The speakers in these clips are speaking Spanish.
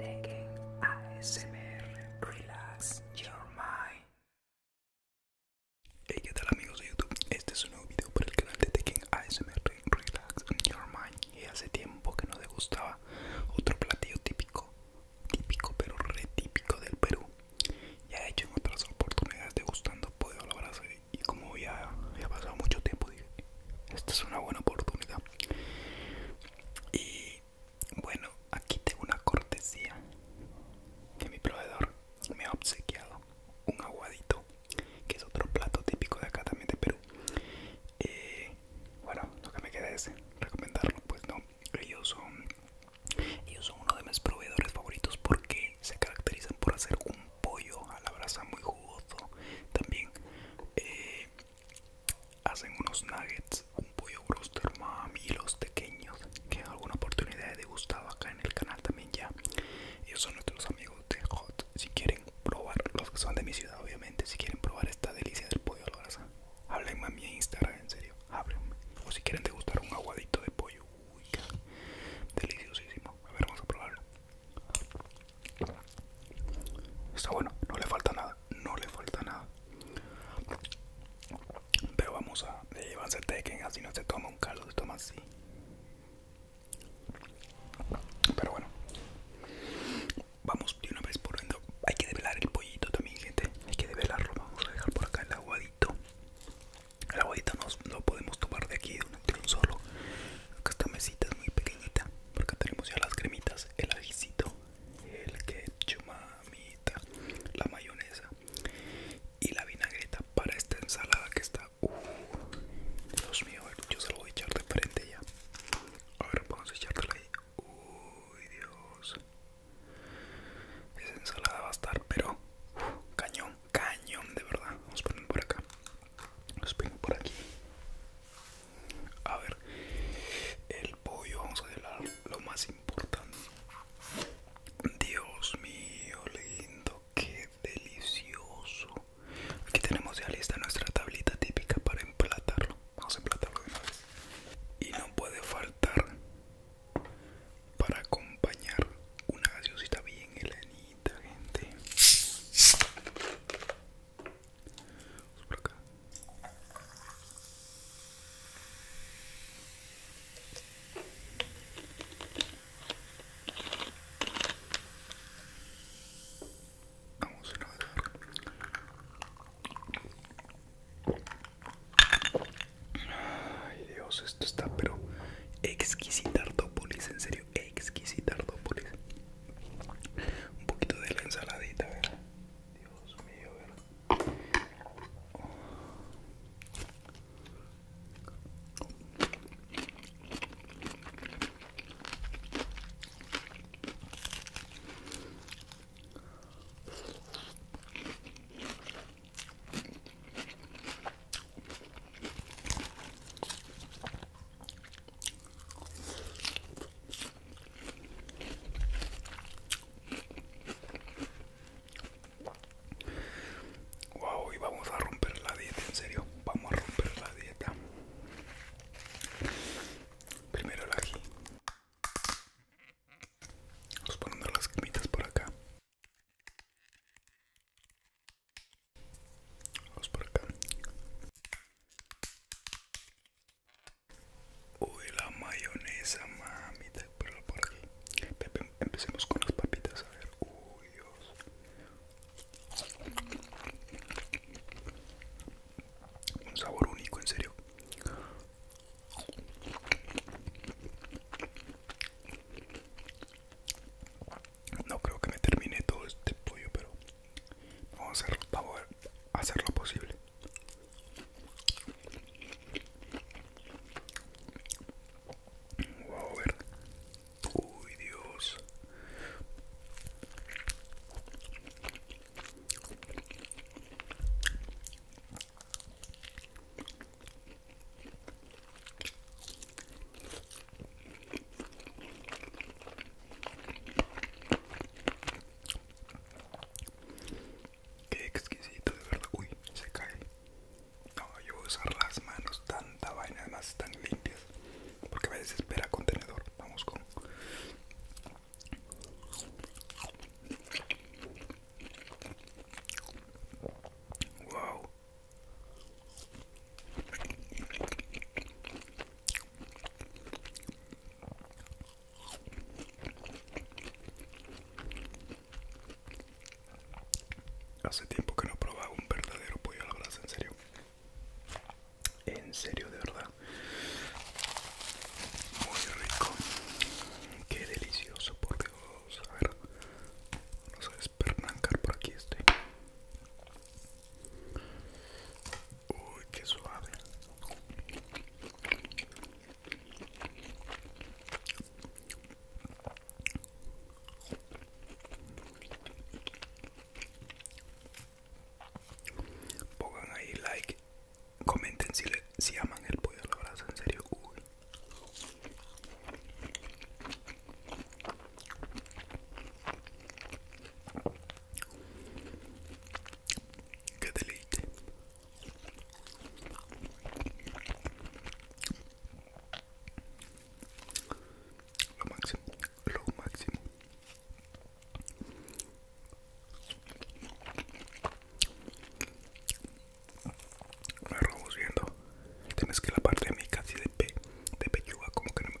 Tekken ASMR Relax Your Mind. Hey, ¿qué tal amigos de YouTube? Este es un nuevo video para el canal de Tekken ASMR Relax Your Mind. Y hace tiempo que no gustaba otro platillo típico, típico pero retípico del Perú. Ya he hecho en otras oportunidades degustando pollo a la y como ya ha pasado mucho tiempo dije, esta es una buena oportunidad y bueno, aquí tengo una cortesía que mi proveedor me ha obsequiado. Un aguadito, que es otro plato típico de acá también de Perú. Eh, bueno, lo que me queda es recomendarlo, pues no. Ellos son, ellos son uno de mis proveedores favoritos porque se caracterizan por hacer un pollo a la brasa muy jugoso. También eh, hacen unos nuggets, un pollo broster, mami, y los pequeños que alguna oportunidad he degustado acá en el canal también ya. Ellos son nuestros amigos de Hot. Si quieren probar, los que son de mi ciudad, obviamente, si quieren probar esta delicia del pollo a la brasa, háblenme a mi Instagram, en serio, háblenme. O si quieren degustar un aguadito de pollo, uy, deliciosísimo. A ver, vamos a probarlo. Está bueno, no le falta nada, no le falta nada. Pero vamos a llevarse tequen, así no se toma un caldo, se toma así. Pero bueno, vamos de una vez por dentro. Hay que develar el pollito también, gente. Hay que develarlo. Vamos a dejar por acá el aguadito. El aguadito no lo podemos tomar de aquí de un, solo. esta mesita es muy pequeñita. Porque tenemos ya las cremitas, el ajicito, el ketchumamita, la mayonesa y la vinagreta para esta ensalada que está. Uh, Dios mío, yo se lo voy a echar de frente ya. A ver, vamos a echártela ahí. Uy, Dios. Esa ensalada va a estar, pero uh, cañón, cañón de verdad. Vamos a poner por acá. Los pongo por aquí. A ver, el pollo, vamos a hablar lo más importante. Dios mío, lindo, qué delicioso. Aquí tenemos ya lista nuestra tablita típica para emplatarlo. Vamos a emplatarlo de una vez. Y no puede faltar para acompañar una gaseosita bien helenita, gente. Vamos por acá. Vamos a ver. Ay Dios, esto está pero exquisito Artópolis, en serio. Exquisita exquisita Un poquito de la ensaladita, Dios mío, ¿verdad? Wow, y vamos a romper la dieta, en serio, vamos a romper la dieta. Primero la aquí Vamos a las quimitas por acá. Vamos por acá. Uy, la mayonesa, mamita. Pero por aquí. empecemos con las papitas. A ver, uy, Dios. Un sabor único, en serio. No creo que me termine todo este pollo, pero vamos a hacer lo posible. Vamos a ver. Uy, Dios. Qué exquisito, de verdad. Uy, se cae. No, yo voy a usar las manos, tanta vaina, además tan limpias. Porque a veces espera contenedor. Vamos con. Wow. Hace tiempo que no probaba un verdadero pollo a la brasa, en serio. En serio, de verdad. Muy rico. Qué delicioso, por Dios. A ver, vamos a despernancar por aquí este. Uy, qué suave. Pongan ahí like, comenten si, le, si aman el pollo a la brasa, en serio. Uy. Qué delicia Lo máximo, lo máximo. Me viendo. Tienes que la parte de mi casi de, pe, de pechuga como que no me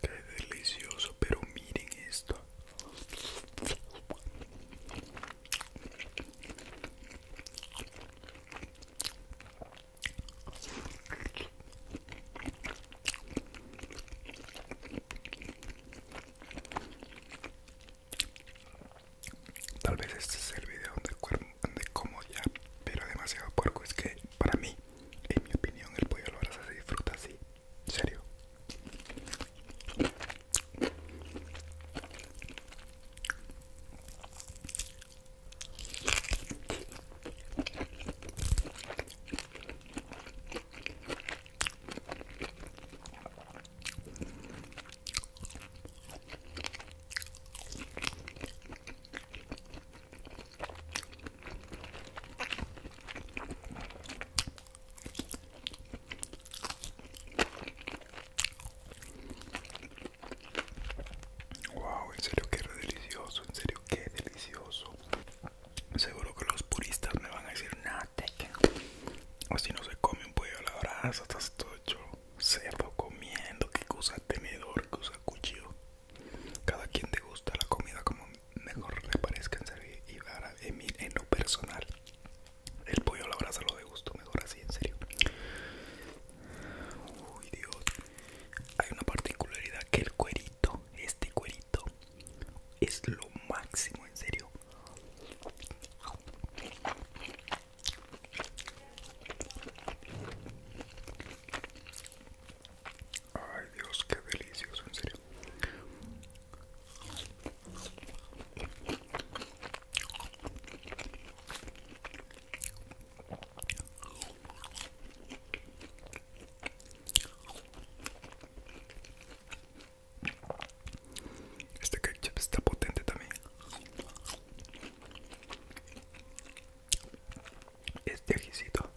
Qué delicioso, pero miren esto. Tal vez este sea el video donde de como ya, pero demasiado porco Es que para mí, en mi opinión, el pollo lo la se disfruta así. serio. Wow, en serio que delicioso, en serio que delicioso. Seguro que los puristas me van a decir, no, si no se come un pollo a la brasa, estás todo hecho cerdo comiendo, que cosa tenedor, que usa cuchillo. Cada quien gusta la comida como mejor le parezca en serio y ahora en lo personal el pollo a la brasa lo degusto mejor así en serio. Uy Dios, hay una particularidad que el cuerito, este cuerito es lo máximo en serio. Ay Dios, qué delicioso, en serio. Este ketchup está potente también este ajicito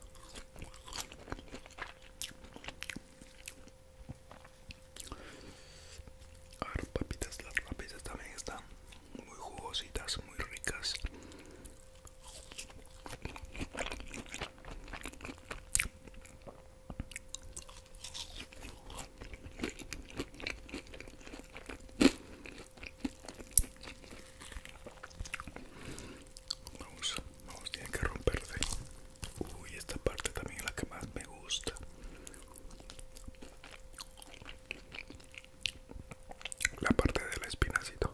a ver papitas las papitas también están muy jugositas muy ricas Vamos, vamos, tiene que romperse. Uy, esta parte también es la que más me gusta. La parte de la espinacito.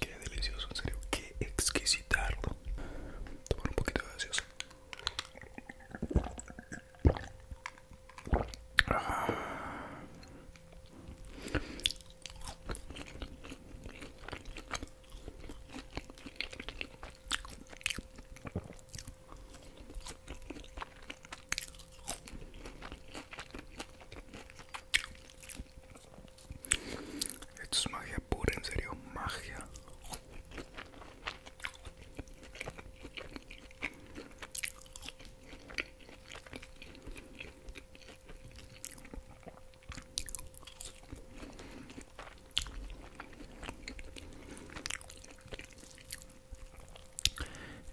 Qué delicioso, en serio, qué exquisito, Tomar un poquito de gaseosa. Esto es magia pura, en serio, magia.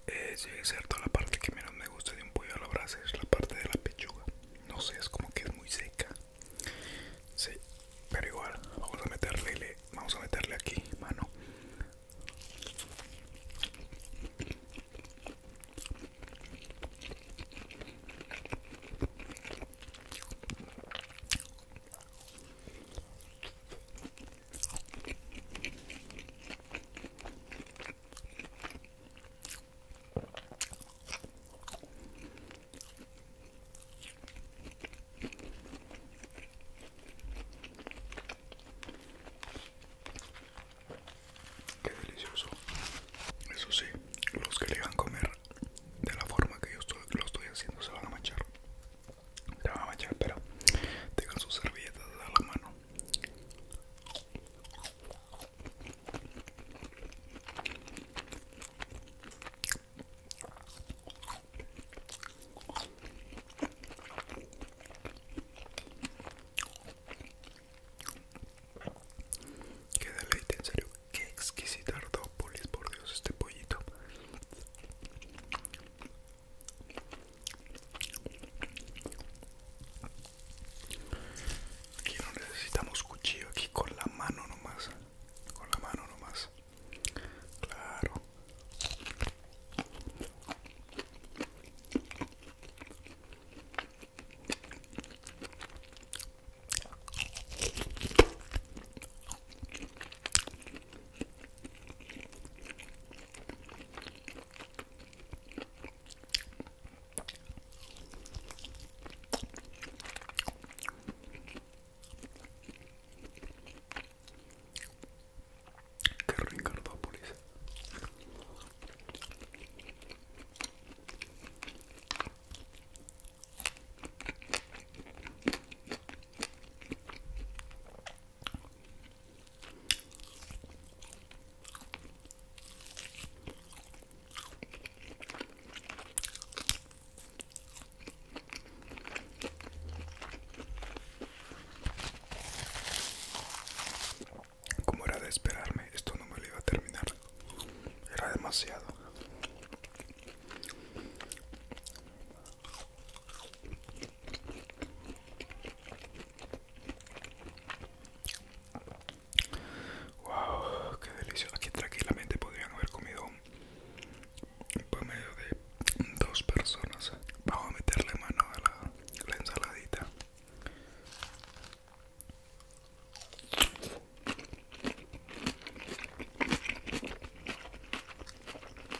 Eh, es cierto la parte que menos me gusta de un pollo a la brasa es la parte de la pechuga no sé es como que es muy seca sí pero igual vamos a meterle vamos a meterle aquí mano Qué delicioso. Eso sí, los que le van a comer de la forma que yo lo estoy haciendo se van a manchar la va a espera pero tengan su servilleta a la mano. Qué deleite, en serio, qué exquisita ardópolis, por Dios, este pollito. Aquí no necesitamos cuchillo, aquí con la mano nomás. Con la mano nomás. Claro. Qué Ricardópolis. Como era de esperarme, esto no me lo iba a terminar. Era demasiado. Wow, qué delicioso. Aquí tranquilamente podrían haber comido un promedio de dos personas. Vamos a meterle mano a la ensaladita.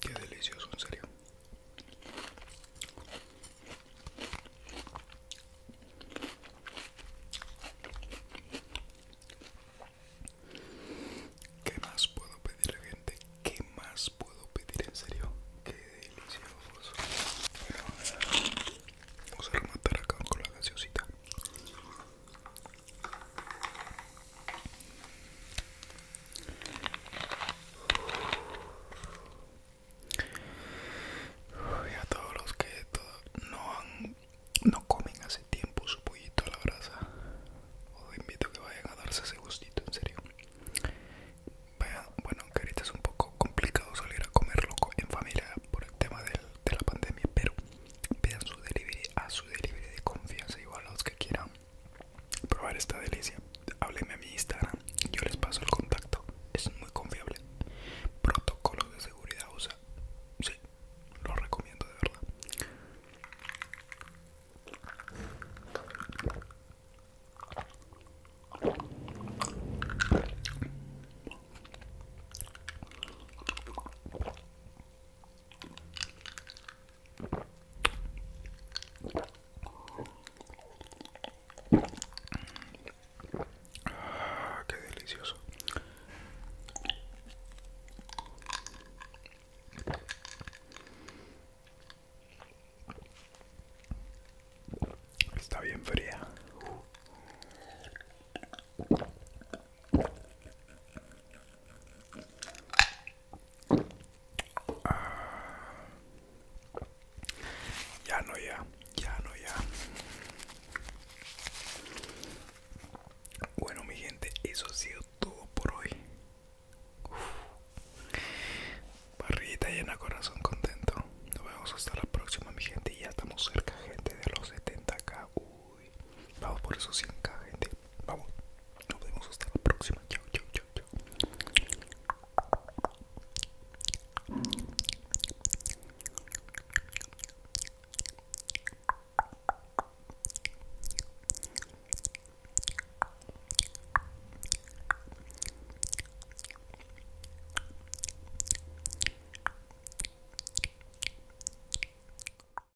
Qué delicioso, en serio. ¿Qué más puedo pedir, gente? ¿Qué más puedo pedir, en serio? Qué delicioso. vamos a rematar acá con la gaseosita. Y a todos los que no comen hace tiempo su pollito a la brasa, os invito a que vayan a darse ese gustito, en serio. bueno, que ahorita es un poco complicado salir a comer loco en familia por el tema de la pandemia, pero vean su delivery a su delivery de confianza, igual a los que quieran probar esta delicia, hábleme a mi Instagram, yo les paso el contacto, es muy confiable. Protocolos de seguridad usa, sí, lo recomiendo de verdad. Ah, qué delicioso. Está bien fría. Ah. Ya no, ya, ya no, ya. Bueno, mi gente, eso ha sido todo por hoy. barrita llena, corazón contento. Nos vemos hasta la próxima, mi gente. Ya estamos cerca, gente, de los 70k. Vamos por eso, sin acá, gente. Vamos. Nos vemos hasta la próxima. Chao, chao, chao, chao.